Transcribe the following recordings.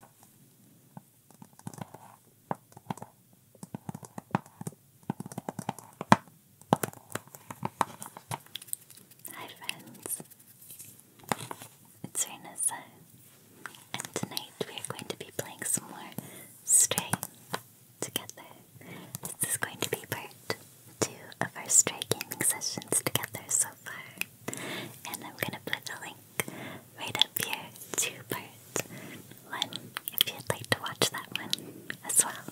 Hi friends, it's Renessa, uh, and tonight we are going to be playing some more Stray together. This is going to be part two of our Stray gaming sessions together so far, and I'm going to put a link right up here, two parts. One, if you'd like to watch that one as well.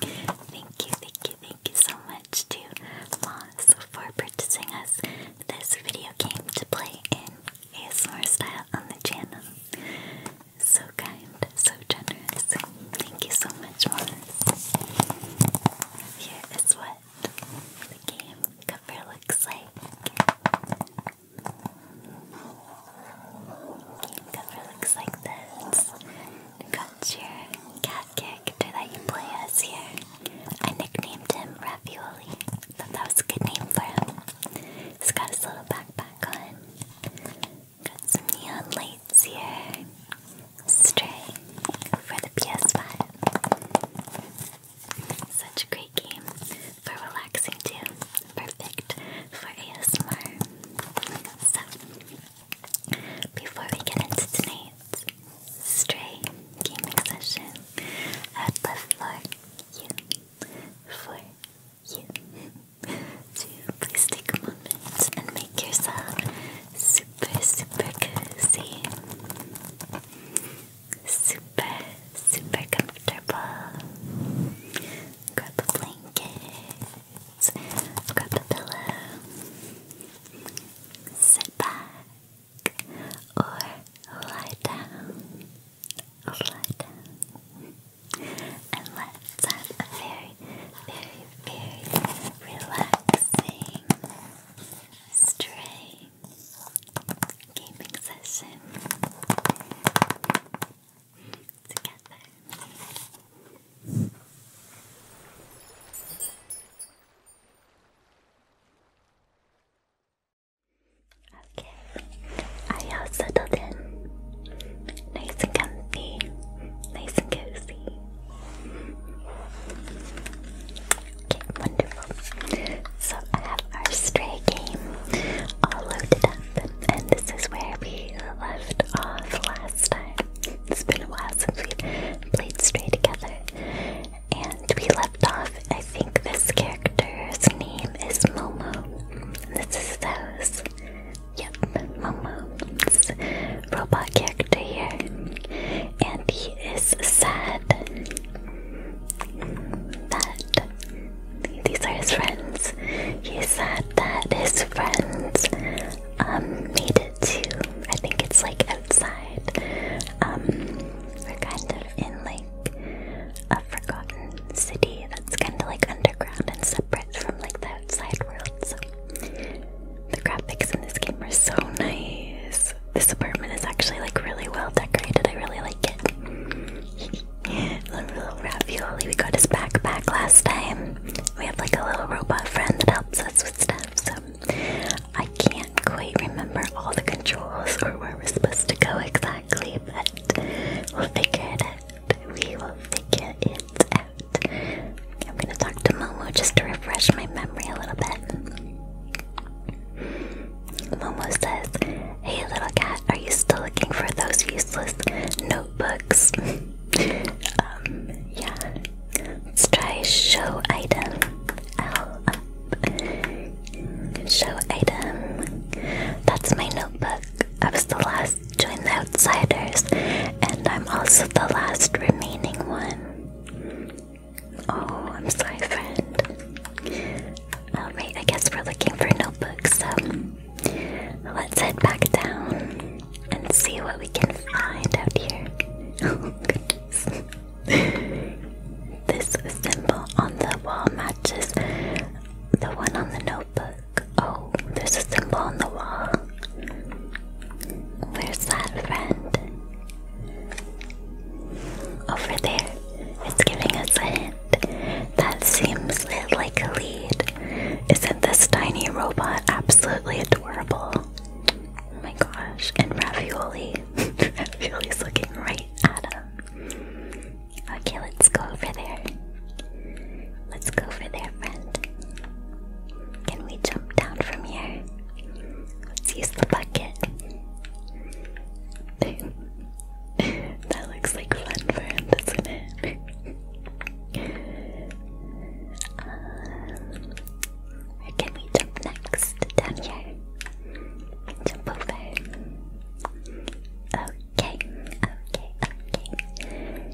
Thank you, thank you, thank you so much to Moss for purchasing us this video came to play in ASMR style on the channel. So kind, so generous. Thank you so much, Moss. Here is what the game cover looks like. Game cover looks like this. Got your cat character that you play as here. I nicknamed him Ravioli. Thought that was a good name for him. He's got his little backpack on. Got some neon lights here. Stray for the PS5. Such a great game for relaxing too. Perfect for ASMR. So, before we get into tonight's stray gaming session, I'd love for you, for you, to please take a and make yourself super, super cozy super, super comfortable. Grab a blanket, grab a pillow, sit back, or lie down, lie down, and let's have a very, very, very relaxing, stray gaming session together. Okay, are you settled in? Nice and comfy, nice and cozy. Okay, wonderful. So I have our stray game all loaded up, and this is where we left off last time. It's been a while since we played stray together, and we left off. I think this character's name is Momo. this is his Yep, Momo. robot character here, and he is sad that these are his friends. He said that his friends um, made it to I think it's like outside. Um we're kind of in like a forgotten city that's kinda like underground and separate from like the outside world. So the graphics in this game are so nice this apartment is actually like really well decorated. I really like it. little, ravioli. We got his backpack last time. We have like a little robot friend that helps us with stuff. So I can't quite remember all the controls or where we're supposed to go exactly, but we'll figure it We will figure it out. I'm gonna talk to Momo just to refresh my memory a little bit. Momo says, Hey little cat, are you still looking for those useless notebooks? um, yeah. Let's try show item. Show item. That's my notebook. I was the last to join the outsiders, and I'm also the last remaining one. Oh, I'm sorry, friend. Oh, Alright, I guess we're looking for notebooks, so let's head back down and see what we can find out here. Oh, this symbol on the wall matches the one on the notebook. Oh, there's a symbol on the wall. Where's that friend? Over there, it's giving us a hint. That seems like a lead. Isn't this tiny robot absolutely adorable? Oh my gosh, and Ravioli. Ravioli's looking right at him. Okay, let's go over there. Let's go over there, friend. Can we jump down from here? Let's use the bucket. that looks like fun for him, doesn't it? where um, can we jump next? Down here. Jump over. Okay, okay, okay.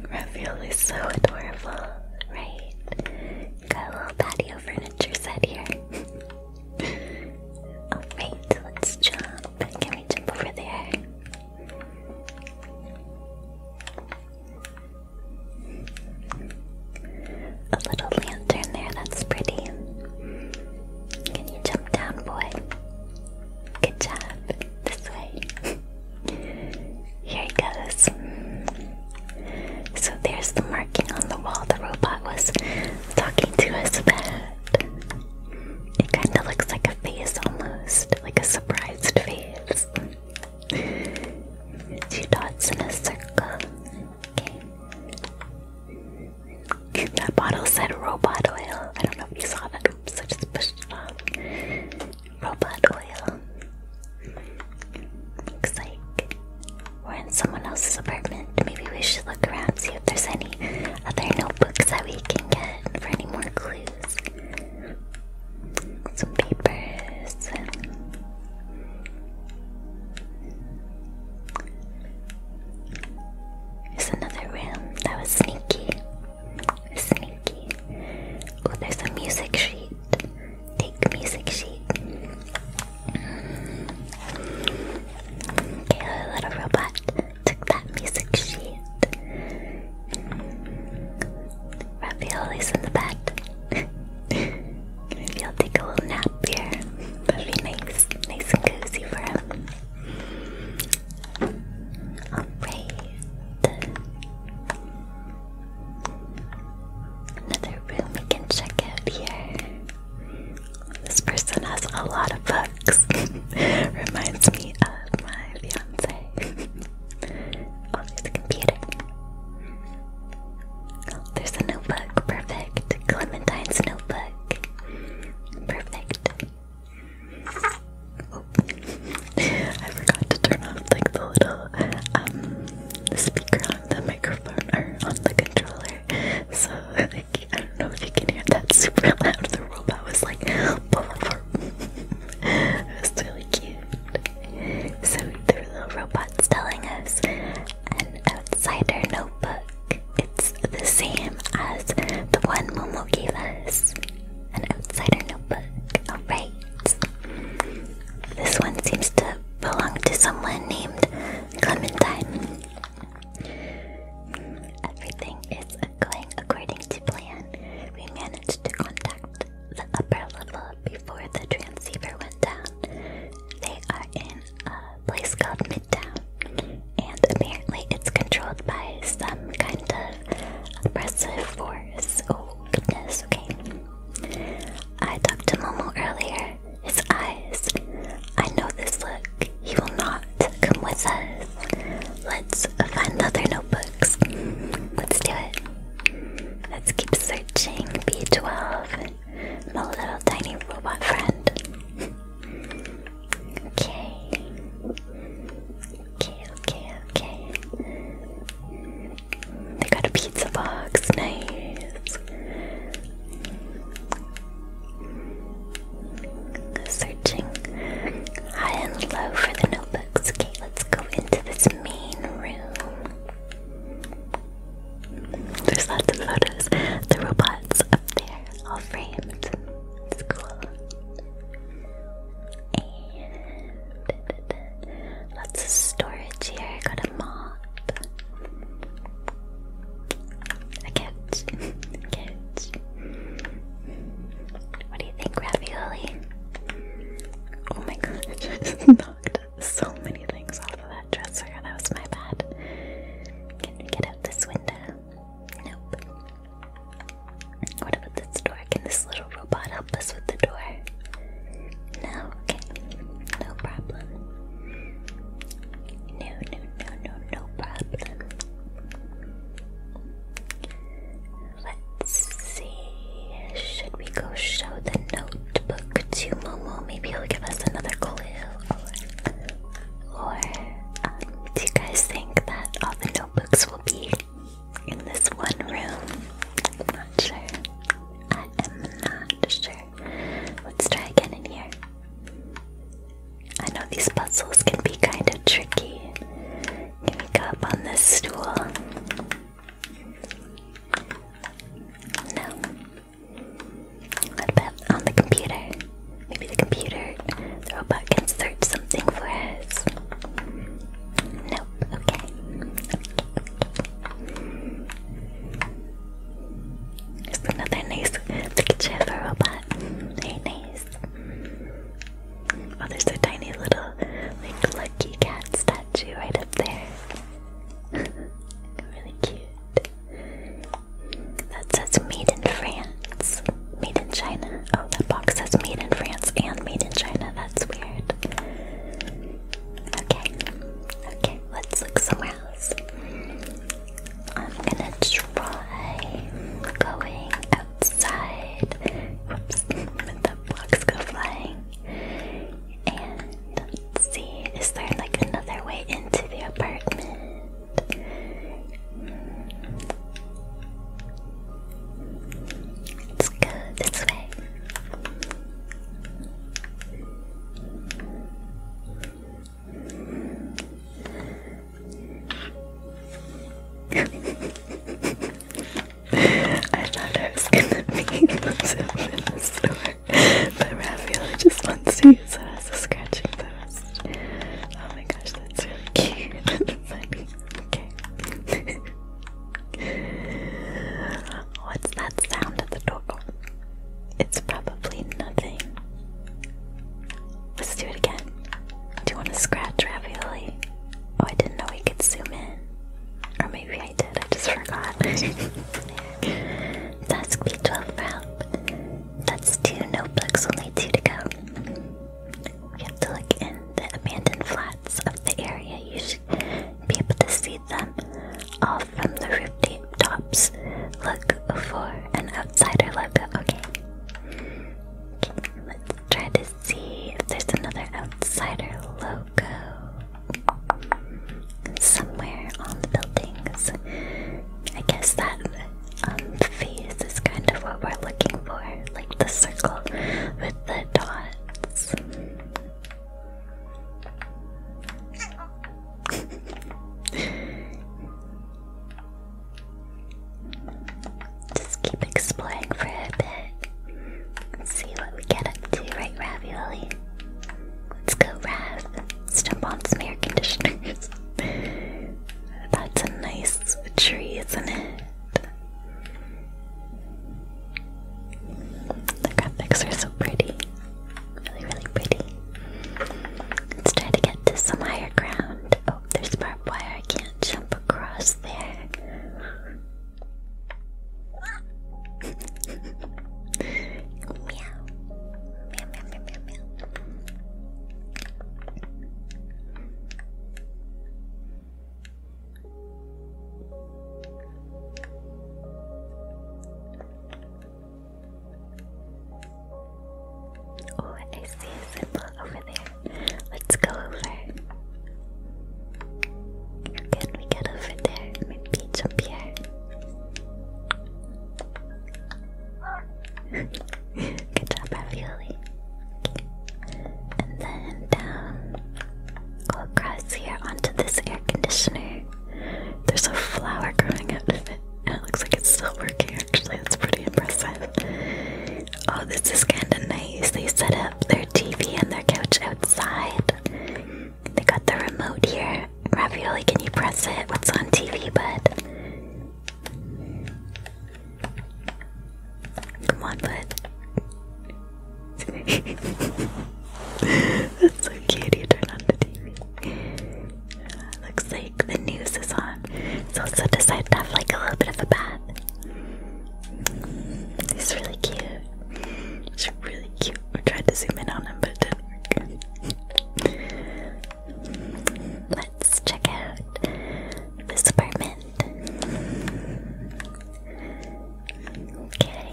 Ravioli's so adorable, right? Got a little patio furniture set here. Alright, let's jump. Can we jump over there? A little lantern there, that's pretty. Can you jump down, boy? Good job. This way. Here it goes. So there's the marking on the wall the robot was talking to us about. It kind of looks like a face almost, like a surprised face. Two dots in a circle. That bottle said robot oil. I don't know if you saw that. Oops, I just robot oil. Looks like we're in someone else's apartment. Maybe we should look around, see if there's any other notebooks that we can get for any more clues. Some papers. There's another room that was sneaky. Sneaky. Oh, there's a music sheet. Take music sheet. Okay, our little robot took that music sheet. Ravioli's in the bed. Maybe I'll take a little nap here. that be nice, nice and cozy for him. Alright. Another room we can check out here. This person has a lot of books. Reminds me of my fiance. oh, there's computer. there's a notebook. Perfect. Clementine's notebook. Perfect. Oh. I forgot to turn off like the little um, speaker on the microphone or on the controller. So I don't know if you can hear that super loud. The robot was like it was really cute. So there were little robots telling us an outsider notebook. It's the same as the one Momo gave us. An outsider notebook. Alright. This one seems to belong to someone named Clementine. Everything is going according to plan. We managed to contact the upper level before the transceiver went down. They are in a place called Midtown, and apparently it's controlled by some kind of oppressive force. Oh, goodness, okay. I talked to Momo earlier. His eyes. I know this look. He will not come with us. Let's find other notebooks. Let's do it. Let's keep searching. B12. My little tiny robot friend. okay. Okay, okay, okay. They got a pizza box, nice. Searching high and low for the notebooks. Okay, let's go into this main room. There's lots of photos. The robots up there, all framed. It's cool lots of storage here. I got a mop. A couch. a couch. What do you think, Ravioli? Oh my god, I just knocked so many things off of that dresser. That was my bad. Can we get out this window? Nope. What about this door? Can this little robot help us with the door? No, okay. No problem. No, no, no, no, no problem. Let's see. Should we go show the notebook to Momo? Maybe he'll give us another clue. Or, um, do you guys think that all the notebooks will be in this one room. not sure. I am not sure. Let's try again in here. I know these puzzles can be kind of tricky. Can we go up on this stool? No. What about on the computer? Maybe the computer, the robot can search something for us. Nope. Okay. It's another nice picture of a robot. Very nice. Oh, there's a tiny little, like, lucky cat statue right up there. really cute. That says made in France. Made in China. Oh, that box says made in France and made in China. That's weird. Okay. Okay, let's look somewhere else. I'm gonna try going outside. Whoops, with the blocks go flying. And see, is there like another way into the apartment? Hmm. Let's go this way. I thought I was gonna be something in the store, but Raphael just wants to use it as a scratching post. Oh my gosh, that's so cute Okay. What's that sound at the door? it's probably nothing. Let's do it again. Do you want to scratch ravioli? Oh, I didn't know we could zoom in. Or maybe I did, I just forgot. Task B12 prep. That's two notebooks, only two to go. We have to look in the abandoned flats of the area. You should be able to see them all from the rooftops. Look for an outsider logo. Okay. okay. Let's try to see if there's another outsider logo somewhere on the buildings. I guess that um, face is kind of what we're looking for, like the circle with the dots. Just keep exploring for a bit. Let's see what we get up to, right, Ravioli? Let's go, Rav. Let's jump on some air conditioners. That's a nice tree, isn't it? The graphics are so pretty. Really, really pretty. Let's try to get to some higher ground. Oh, there's barbed wire. I can't jump across there. meow. meow. Meow, meow, meow, Oh, I see a symbol over there. Let's go over. Can we get over there? Maybe jump here. Good job, Ravioli. Okay. And then down across here onto this air conditioner. There's a flower growing out of it, and it looks like it's still working actually. That's pretty impressive. Oh, this is kind of nice. They set up their TV and their couch outside. They got the remote here. Ravioli, can you press it? What's on TV, bud? Come on, bud. That's so cute. You turn on the TV. Uh, looks like the news is on. So I decided to have like a little bit of a bath. He's really cute. He's really cute. I tried to zoom in on him, but it didn't work. Let's check out this apartment. Okay.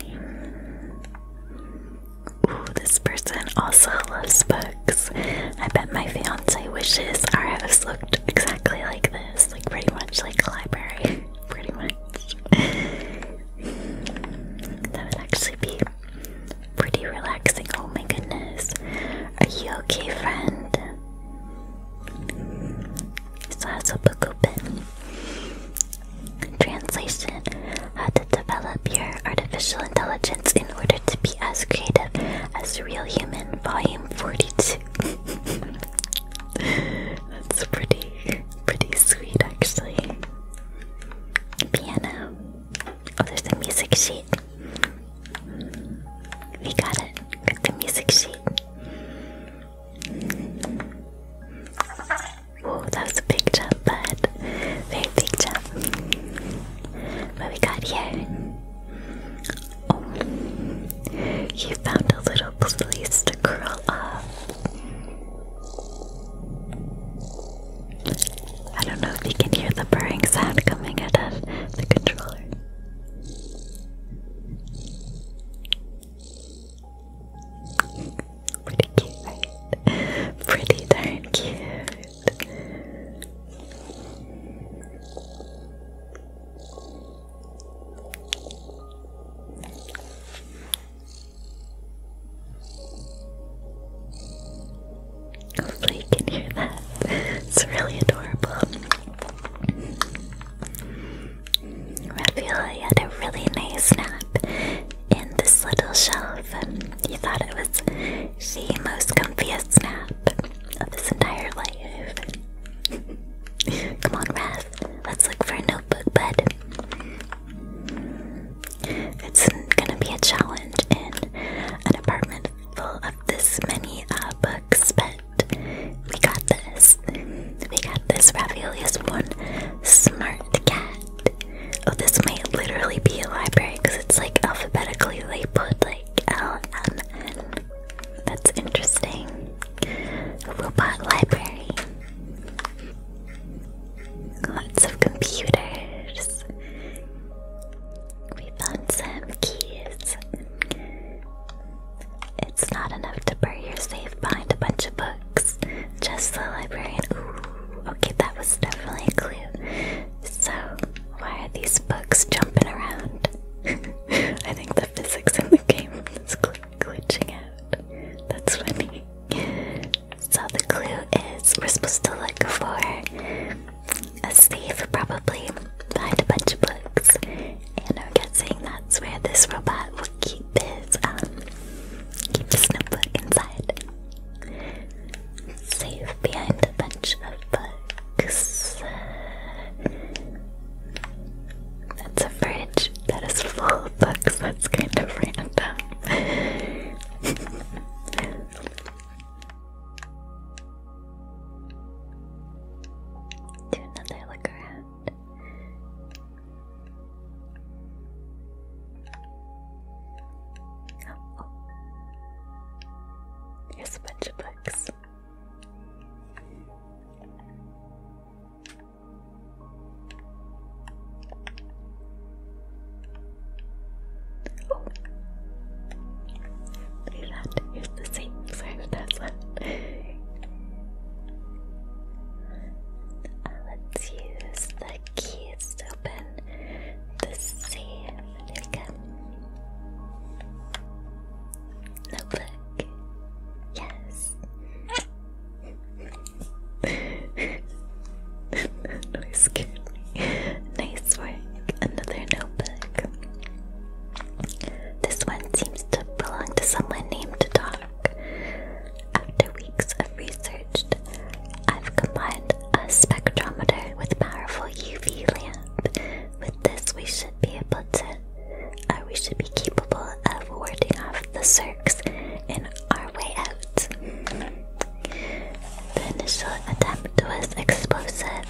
Ooh, this person also loves books. I bet my fiance wishes our house looked exactly like this, like pretty much like a library. pretty much. that would actually be pretty relaxing. Oh my goodness. Are you okay, friend? So has a book open. Translation How to develop your artificial intelligence in order to be as creative as Real Human, Volume 42. That's pretty, pretty sweet, actually. Piano. Oh, there's the music sheet. We got it with the music sheet. Oh, that was a big jump, bud. Very big jump. But we got here? Oh, you found a little place to curl up. I don't know if you can hear the purring sound coming out of the controller. Pretty cute, right? Pretty darn cute. Hopefully, you can hear that. It's really adorable. Raphael had a really nice nap in this little shelf. and He thought it was the most comfiest nap of his entire life. Come on, Raph, let's look for a notebook bed. It's gonna be a challenge in an apartment full of this many uh, books, but we got this. We got this. Ravioli one Smart cat. Oh, this might literally be a library because it's like alphabetically they put like L M N. That's interesting. Robot library. Lots of computers. We found some keys. It's not enough to bury your safe behind a bunch of books. Just the librarian. Ooh, okay, that was definitely a clue. So, why are these books jumping around? I think the physics in the game is glitching out. That's what funny. So, the clue is we're supposed to look for a safe, probably, behind a bunch of books. And I'm guessing that's where this robot will keep keep his um, notebook inside. Safe behind a bunch of books. That's a fridge that is full of books. That's kind of random. Do another look there's oh. a bunch of books. Oh. Look that. Here's the same. Sorry, that's one. Uh, let's use the keys to open the safe. There we go. Notebook. Yes. that noise Nice work. Another notebook. This one seems to belong to someone named Dot after weeks of research, I've combined a spectrometer with powerful UV lamp. With this, we should be able to, uh, we should be capable of warding off the circs in our way out. The initial attempt was explosive.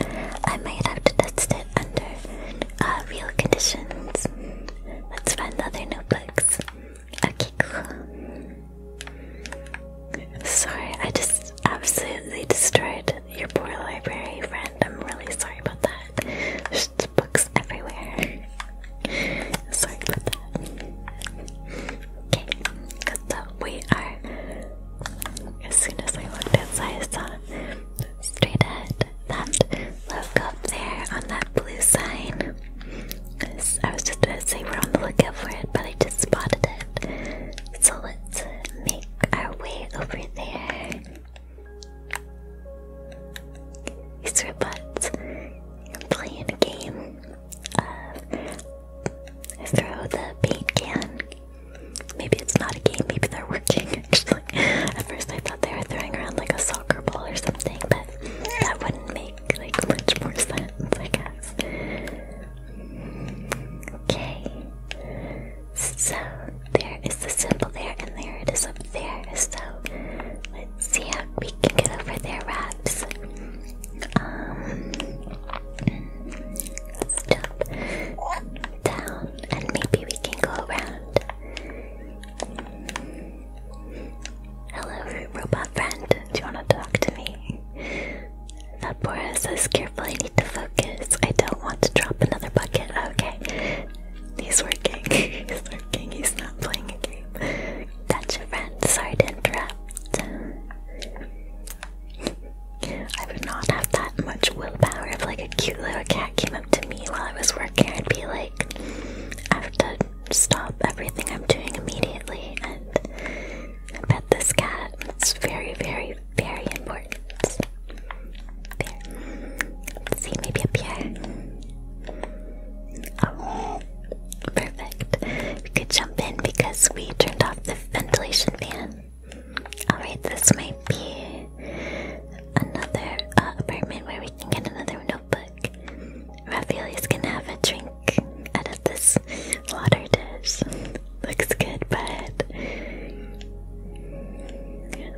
I might have to test it under uh, real conditions. Let's find other notebooks. Okay, cool. Sorry, I just absolutely destroyed your poor library, friend. I'm really sorry about that. books everywhere. Sorry about that. Okay, so we are. As soon as I looked outside, I straight ahead that left up there on that blue sign. I was just going to say we're on the lookout for it, but I just spotted it. So let's make our way over there. These robots are playing a game of throw the paint can. Maybe it's not a game, maybe they're working actually. At first I thought they were throwing around like a soccer ball or something, but that wouldn't make like much more sense, I guess. Okay. So there is the symbol there, and there it is up there. So let's see how we can get over there, Raps. Um, let's jump down, and maybe we can go around. Hello, robot friend. Do you want to talk to me? That Vapora says, careful, I need to focus. I don't want to drop another bucket. Okay. He's working. He's working. He's not playing a game. That's Gotcha, friend. Sorry to interrupt. I would not have that much willpower if like a cute little cat came up to me while I was working. I'd be like, I have to stop everything I'm doing immediately and I bet this cat. It's very, very, very important. see, maybe up here. Oh, perfect. We could jump in because we turned off the ventilation fan. Alright, this might be another uh, apartment where we can get another window notebook. is gonna have a drink out of this water dish. Looks good, but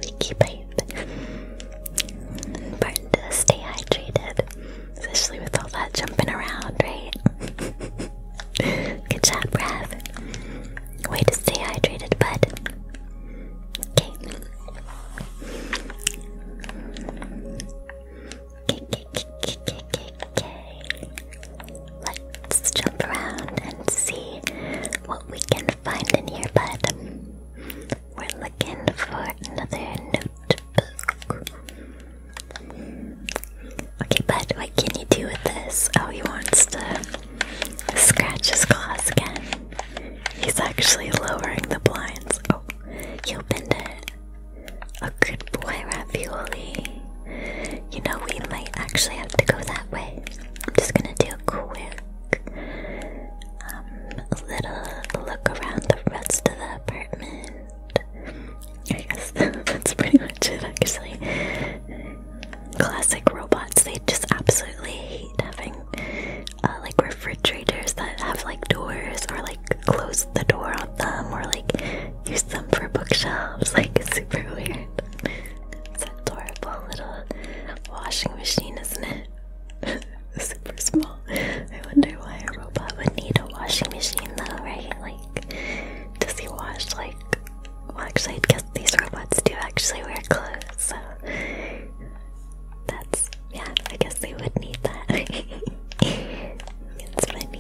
leaky pipe. Important to stay hydrated, especially with all that jumping around, right? good job, Rav. Way to stay hydrated, bud. Okay. Let's jump around and see what we can find in here, bud. We're looking for another notebook. Okay, bud, what can you do with this? Oh, he wants to scratch his claws again. He's actually lowering the blinds. Oh, you opened it. A good boy, Ravioli. You know, we might actually have to go that way. I'm just gonna do a quick um, little look around the rest of the apartment. I guess that's pretty much it, actually. Classic robots, they just absolutely hate having uh, like refrigerators that have like doors or like close the door on them or like use them for bookshelves. Like super weird. It's adorable little washing machine, isn't it? super small. I wonder why a robot would need a washing machine though, right? Like does he wash like well actually I guess these robots do actually wear clothes, that's yeah. I guess they would need that. it's funny.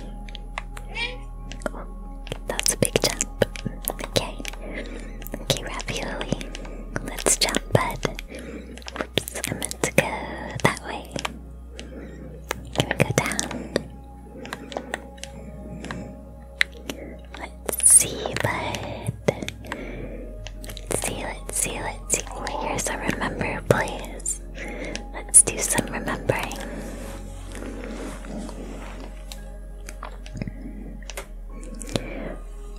Oh, that's a big jump. Okay. Okay, ravioli. Let's jump, bud. Oops, I meant to go that way. Can we go down? Let's see, bud. Seal it, seal it, seal it. Here's a remember, please. Let's do some remembering.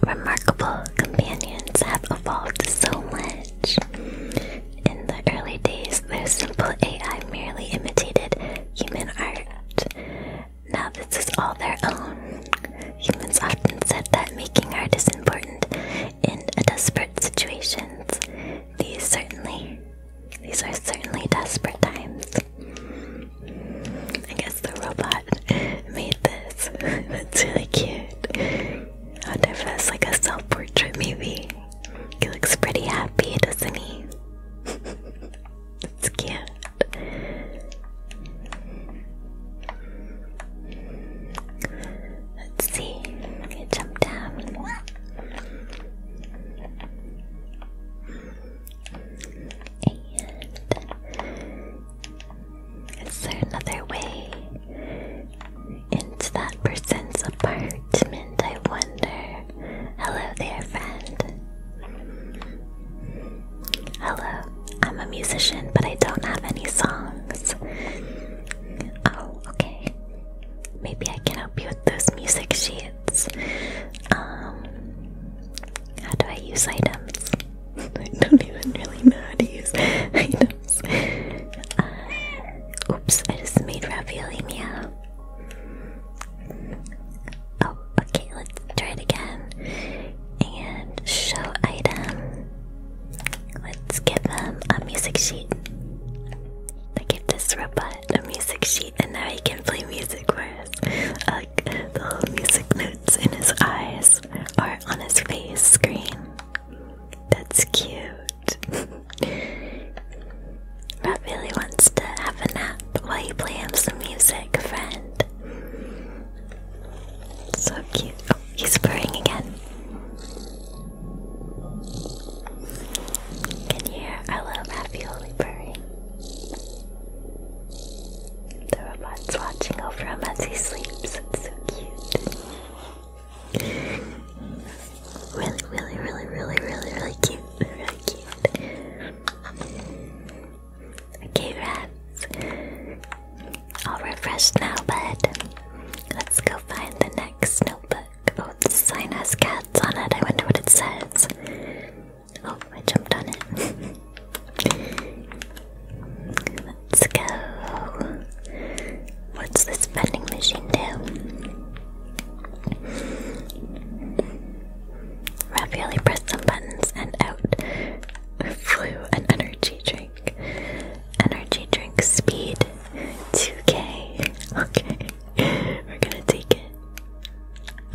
Remarkable companions have evolved so much. In the early days, their simple AI merely imitated human art. Now, this is all their own. Humans often said that making art is important, in a desperate situation, These certainly, these are certainly desperate times. I guess the robot made this. That's really cute. I wonder if that's like a self-portrait, maybe. He looks pretty happy, doesn't he? That's cute. Let's see. I'm jump down. is there another way into that person's apartment? I wonder. Hello there, friend. Hello. I'm a musician, but I don't have any songs. Oh, okay. Maybe I can help you with those music sheets. Um, how do I use items? I don't even really know how to use items. Uh, oops, I just made ravioli Oh, okay, let's try it again. And show item. Let's give him a music sheet. I give this robot a music sheet and now he can play music for us. the whole music notes in his eyes are on his face screen. That's cute. Rob really wants to have a nap while you play him some music, friend. So cute. He's purring again. Can you hear our little ravioli purring? The robot's watching over him as he sleeps. It's so cute. Really, really, really, really, really, really cute. Really cute. Okay, rats. I'll refresh now, but Let's go find the next notebook. Oh, the sign has cats on it. I wonder what it says. Oh, I jumped on it. Let's go. What's this vending machine do? Ravioli pressed some buttons and out flew an energy drink. Energy drink speed 2k. Okay, we're gonna take it.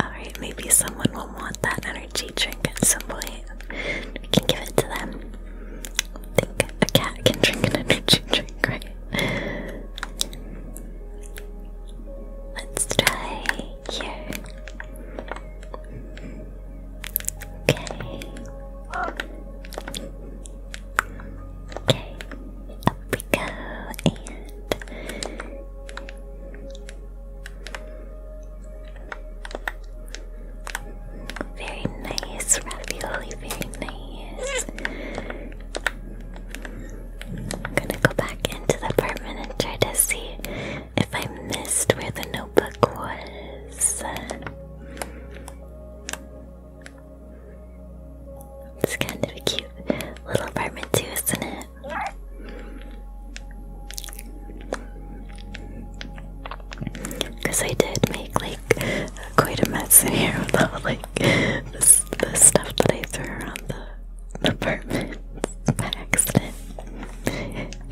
Alright, maybe someone will want that energy drink at some point. We can give it to them. think a cat can drink an energy drink, right? Let's try here up we go, and very nice ravioli, very nice. I'm gonna go back into the apartment and try to see if I missed where the notebook was. It's kind of a cute little apartment too, isn't it? Because I did make like quite a mess in here with all like the, stuff that I threw around the apartment by accident.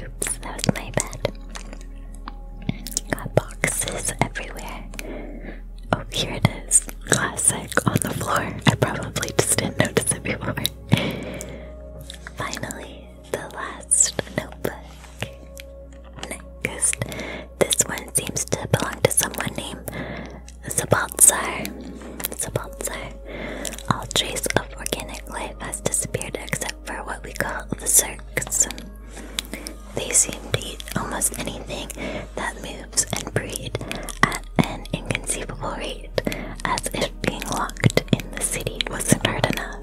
Oops, that was my bed. Got boxes everywhere. Oh, here it is. Classic on the floor. I probably just didn't notice it before. Finally, the last notebook. Next, this one seems to belong to someone named Zabaltzar. Zabaltzar. All trace of organic life has disappeared except for what we call the circs. They seem to eat almost anything that moves and breed at an inconceivable rate, as if being locked in the city wasn't hard enough.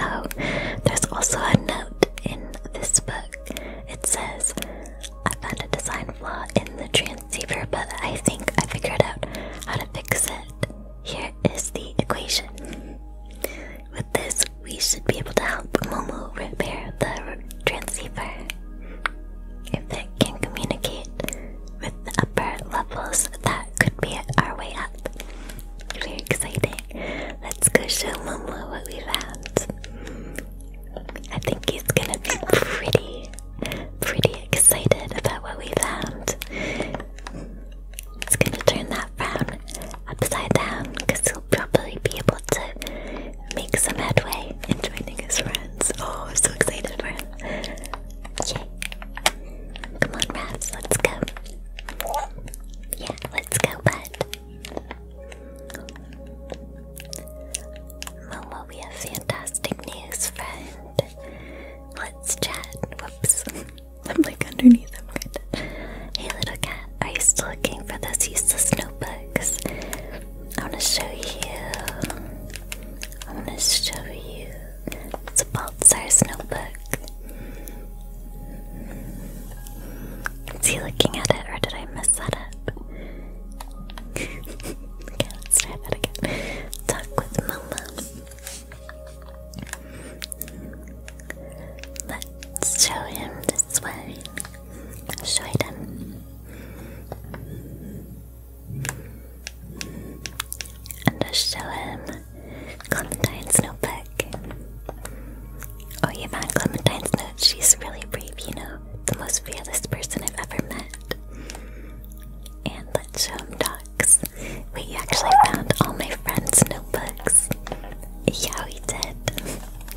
Oh, there's also a note in this book. It says, I found a design flaw in the transceiver, but I think I figured out how to fix it. Here is the equation. With this, we should be able to help Momo repair the transceiver. If it can communicate with the upper levels, that could be our way up. Very exciting. Let's go show Momo what we found. I think he's gonna be pretty, pretty excited about what we found. It's gonna turn that frown upside down because he'll probably be able to make some headway in joining his friends. Oh, I'm so excited for him. Yay. Come on, Ravs, let's go. Yeah, let's go, bud. Momo, we have fantastic news, friend. Let's chat. Whoops. I'm like underneath him kind of. Hey little cat, are you still looking for those useless notebooks? I wanna show you. I wanna show you. It's a Baltzar's notebook. Is he looking at it or did I mess that up? okay, let's try that again. Talk with Mama. Let's show him the swearing. Show them. And I'll show him Clementine's notebook. Oh, you found Clementine's note. She's really brave, you know. The most fearless person I've ever met. And let's show him dogs. We actually found all my friends' notebooks. Yeah, we did.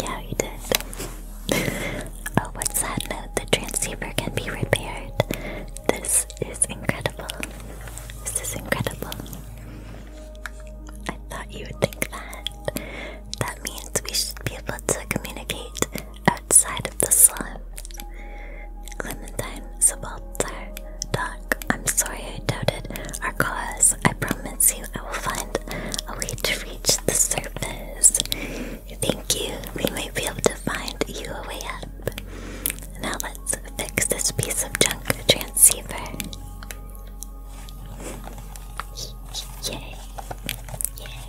Yeah, we did. oh, what's that note? The transceiver can be repaired. This is incredible. This is incredible. I thought you would think that. That means we should be able to communicate outside of the slums. Clementine Subalter, Da I'm sorry I doubted our cause. I promise you I will find a way to reach the surface. Thank you. We may be able to find you a way up. Now let's fix this piece of junk transceiver. Yay. Yay.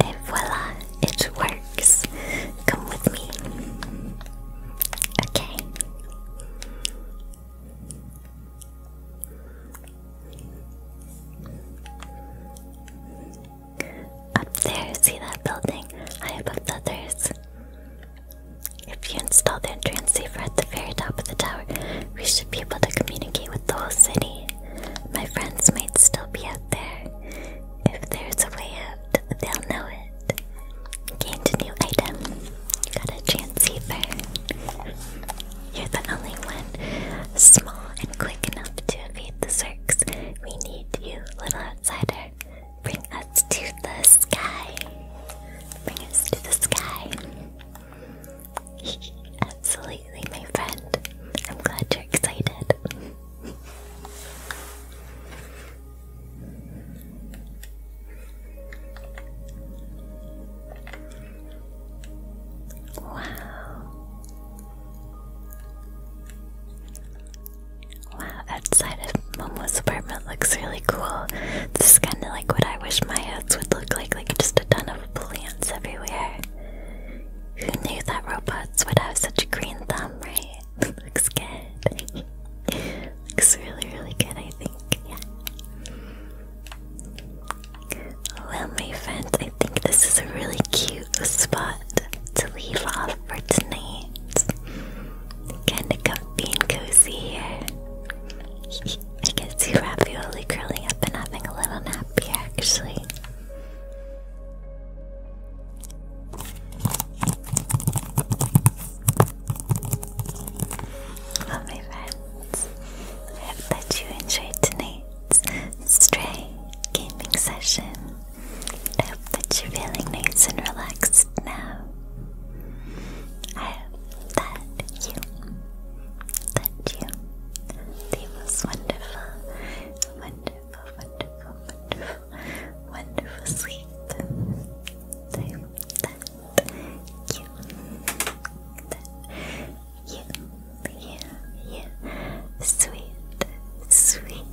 And voila, it works. Come with me. Okay. Up there, see that building high above the others? If you install the entrance safer at the very top of the tower, we should be able to communicate with the whole city. My friends might still be out there. If there's a way out, they'll know it. Gained a new item. Got a transceiver. You're the only one small and quick enough to evade the Zerks. We need you, little outsider. Bring us to the sky. Bring us to the sky. Absolutely, my friend. I'm glad you're excited. wow. Wow, outside of Momo's apartment looks really cool. This is kind of like what I wish my house would look like, like just a ton of plants everywhere. Who knew that robots would have such a green thumb, right? Looks good. Looks really, really good, I think. Yeah. Well, my friends, I think this is a really cute spot to leave off for tonight. Kinda comfy and cozy here. I can see Ravioli curling up and having a little nap actually. Well, my I hope that you enjoyed tonight's stray gaming session. I hope that you're feeling nice and relaxed now. I hope that you, that you, the most wonderful wonderful, wonderful, wonderful, wonderful sleep. So that you, that you, sweet, sweet,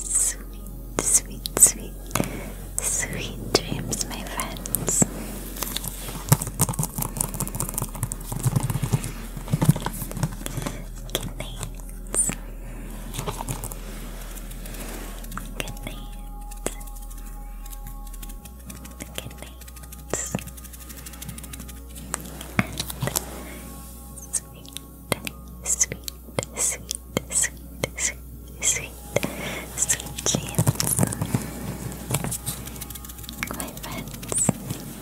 sweet, sweet, sweet, sweet dreams, my friends. Good night. Good night. sweet, sweet, sweet, sweet, sweet, sweet, sweet dreams. My friends,